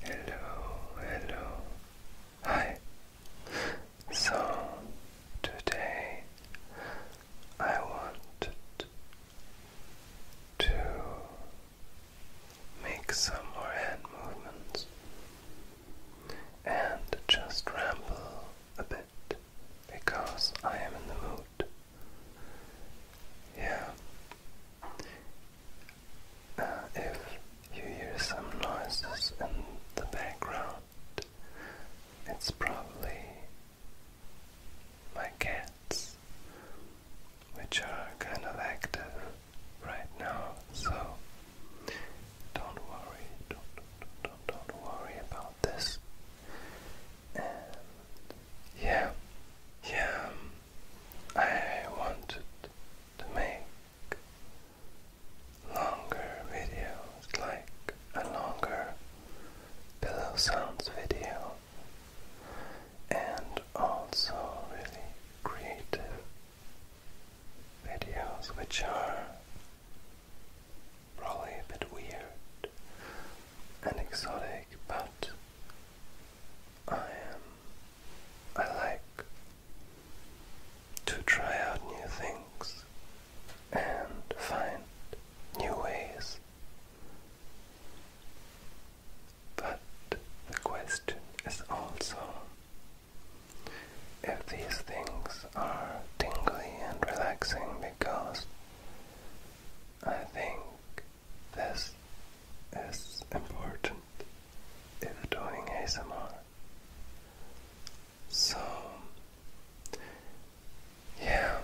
Hello, hello, hi. So, today I want to make some more hand movements and just ramble a bit because I am in the mood. Yeah, uh, if you hear some noises in the background, it's probably my cats, which are kind of active right now, so don't worry, don't, don't, don't, don't worry about this. yeah, yeah, um, I wanted to make longer videos, like a longer pillow sounds video, and also really creative videos, which are probably a bit weird and exotic, but I am. I like to try out new things and find new ways. But the question is also if these things are tingly and relaxing because I think this is important in doing ASMR. So, yeah,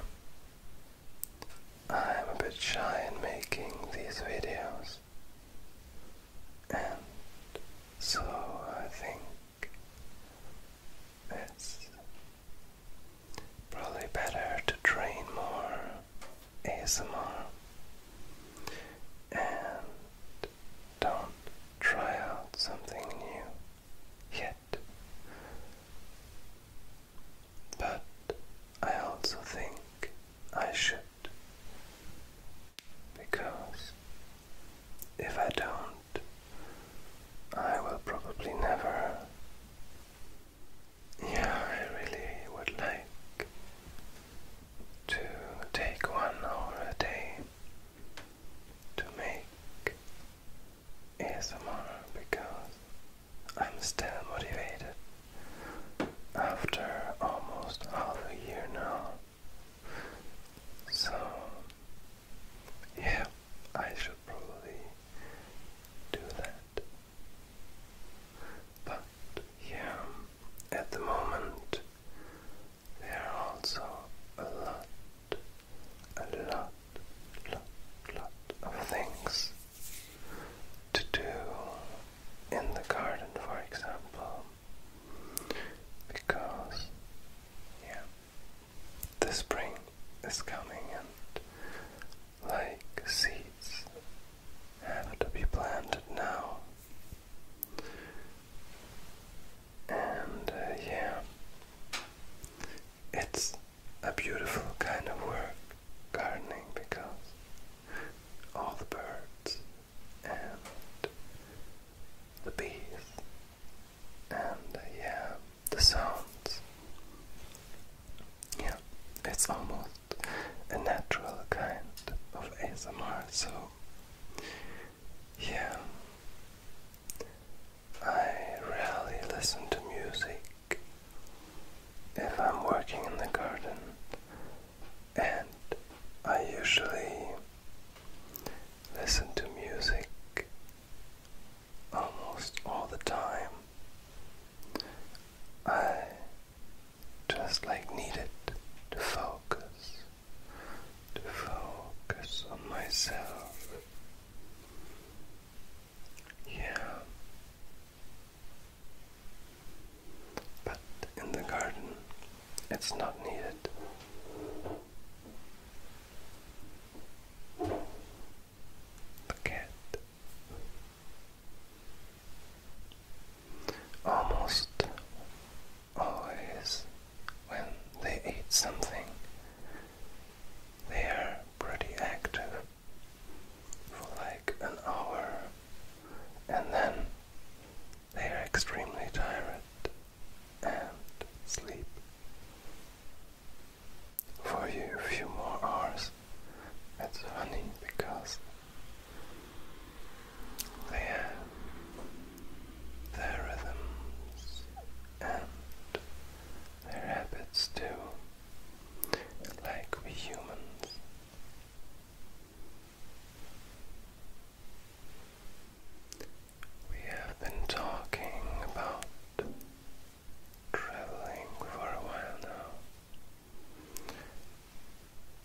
I'm a bit shy in making these videos, and so I think it's Probably better to train more ASMR and don't try out something new yet. But I also think I should because if I don't, I will probably never yeah, I really would like to take one hour a day to make ASMR because I'm still motivated after almost half a year now. So, yeah, I should probably do that. But yeah, at the moment, there are also a lot, a lot, lot, lot of things to do in the garden, for example, because yeah, the spring is coming and like seeds have to be planted now. And uh, yeah, it's a beautiful kind of work, gardening, because all the birds and the bees and uh, yeah, the sounds. Yeah, it's almost a natural kind of ASMR, so yeah, I rarely listen to music if I'm working in the garden, and I usually listen to music almost all the time. I just like needed to focus, to focus on myself. Yeah. But in the garden, it's not needed. A cat. Almost always, when they eat something, they are pretty active for like an hour and then they are extremely tired and sleep for you a few more hours. That's funny because they have their rhythms and their habits too, like we humans. We have been talking about traveling for a while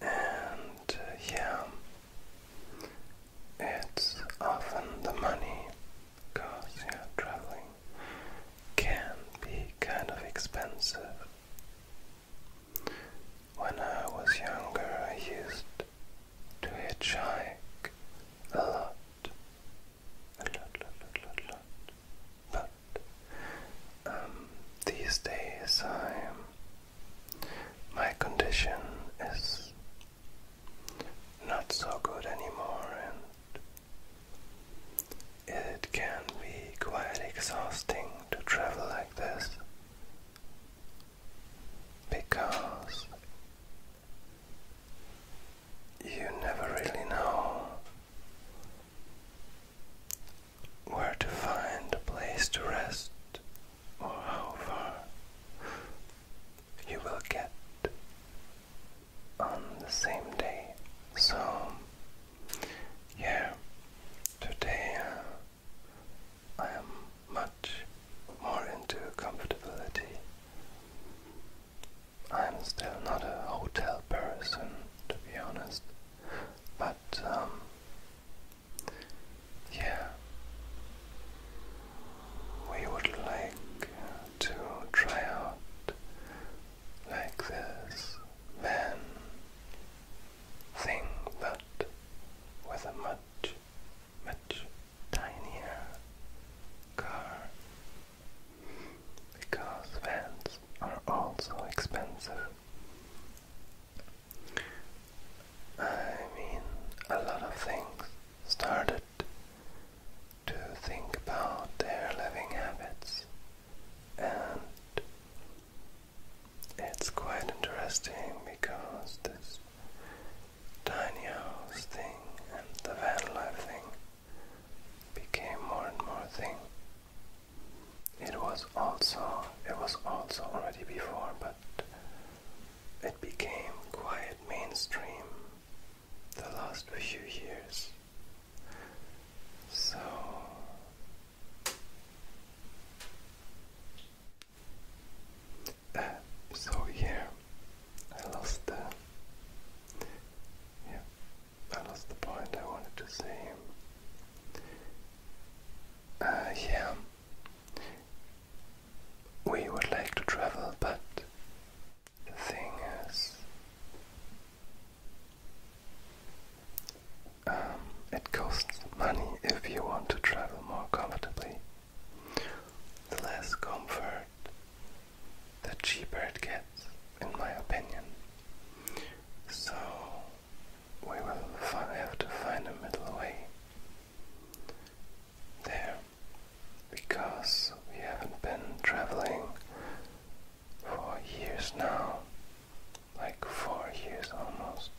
now, and uh, yeah, it's often the money because yeah, traveling can be kind of expensive. When I was younger, I used to hitchhike a lot. A lot, lot, lot, lot, But um, these days, I'm, my condition is not so good anymore, and it can be quite exhausting to travel like this because you never really know where to find a place to rest or how far you will get on the same day. So, yeah, today. Uh, I am much more into comfortability. I am still not a hotel person, to be honest, but um, yeah, we would like to try out like this van thing, that, with a much much tinier car because vans are also expensive. I mean, a lot of things started to think about their living habits and it's quite interesting because this tiny house thing and the van life thing became more and more thing. It was also it was also already before but it became quite mainstream the last few years. So uh, so here I lost the yeah I lost the point I wanted to say. Uh, yeah, we would like to travel, but the thing is, um, it costs money if you want to travel more comfortably. The less comfort, the cheaper it gets, in my opinion. So we will have to find a middle way there because we haven't been traveling for years now like four years almost,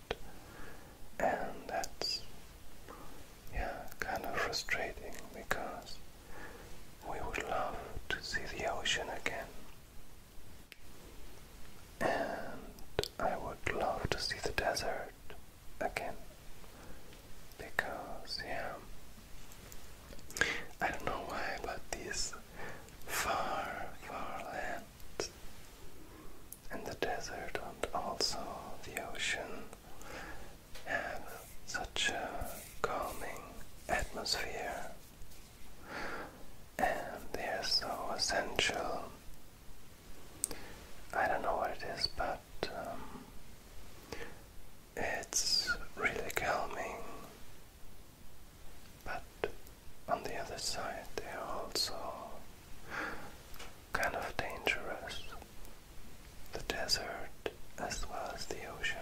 and that's yeah kind of frustrating because we would love to see the ocean again, and I would love to see the desert again because yeah. I don't know why, but these far, far land and the desert and also the ocean have such a calming atmosphere and they are so essential. I don't know what it is, but um, it's really calming but on the other side, they are also kind of dangerous. The desert as well as the ocean.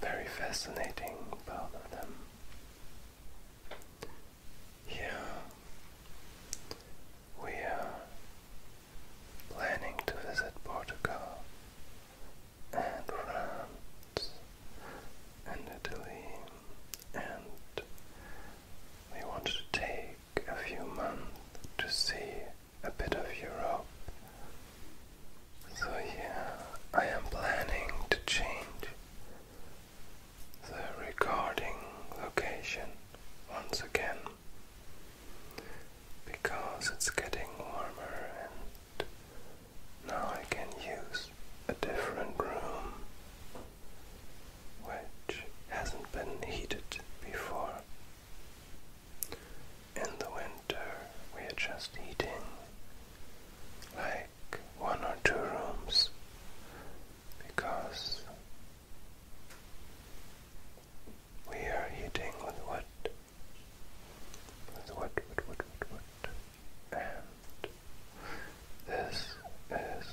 Very fascinating, both of them. Yeah, we are planning to visit Portugal and France and Italy, and we want to take a few months to see a bit of Europe. So, yeah, I am planning to change the recording location once again because it's getting warmer and now I can use a different room which hasn't been heated before. In the winter we are just heating like one or two rooms because we are heating with wood, with wood, wood, wood, wood, and this is,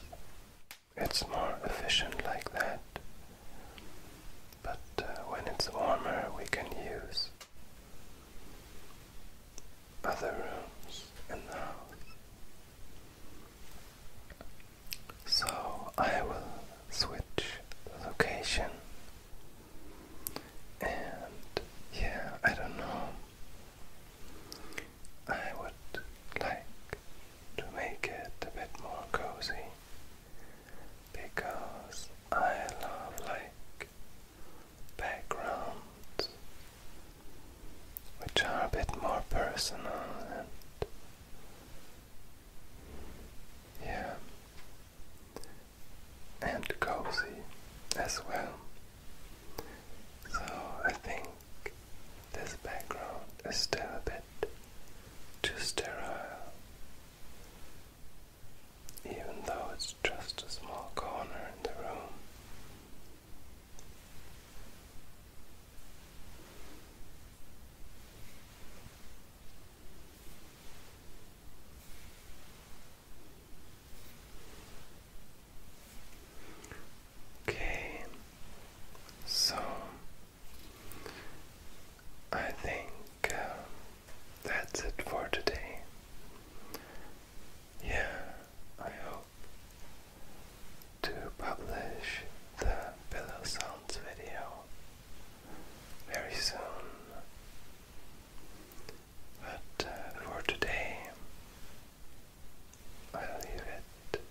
it's more efficient like that, but uh, when it's warmer we can use other rooms in the house. So I will switch the location. And yeah, I don't know. I would like to make it a bit more cozy because I love like backgrounds which are a bit more personal and yeah. And cozy as well. So I think this background is still a bit too sterile. Even though it's just a small corner in the room. Okay, so I think uh, that's it for today. Yeah, I hope to publish the pillow sounds video very soon. But uh, for today, I leave it.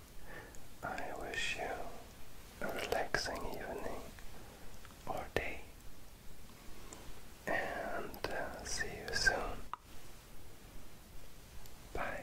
I wish you a relaxing evening or day, and uh, see you soon. Bye.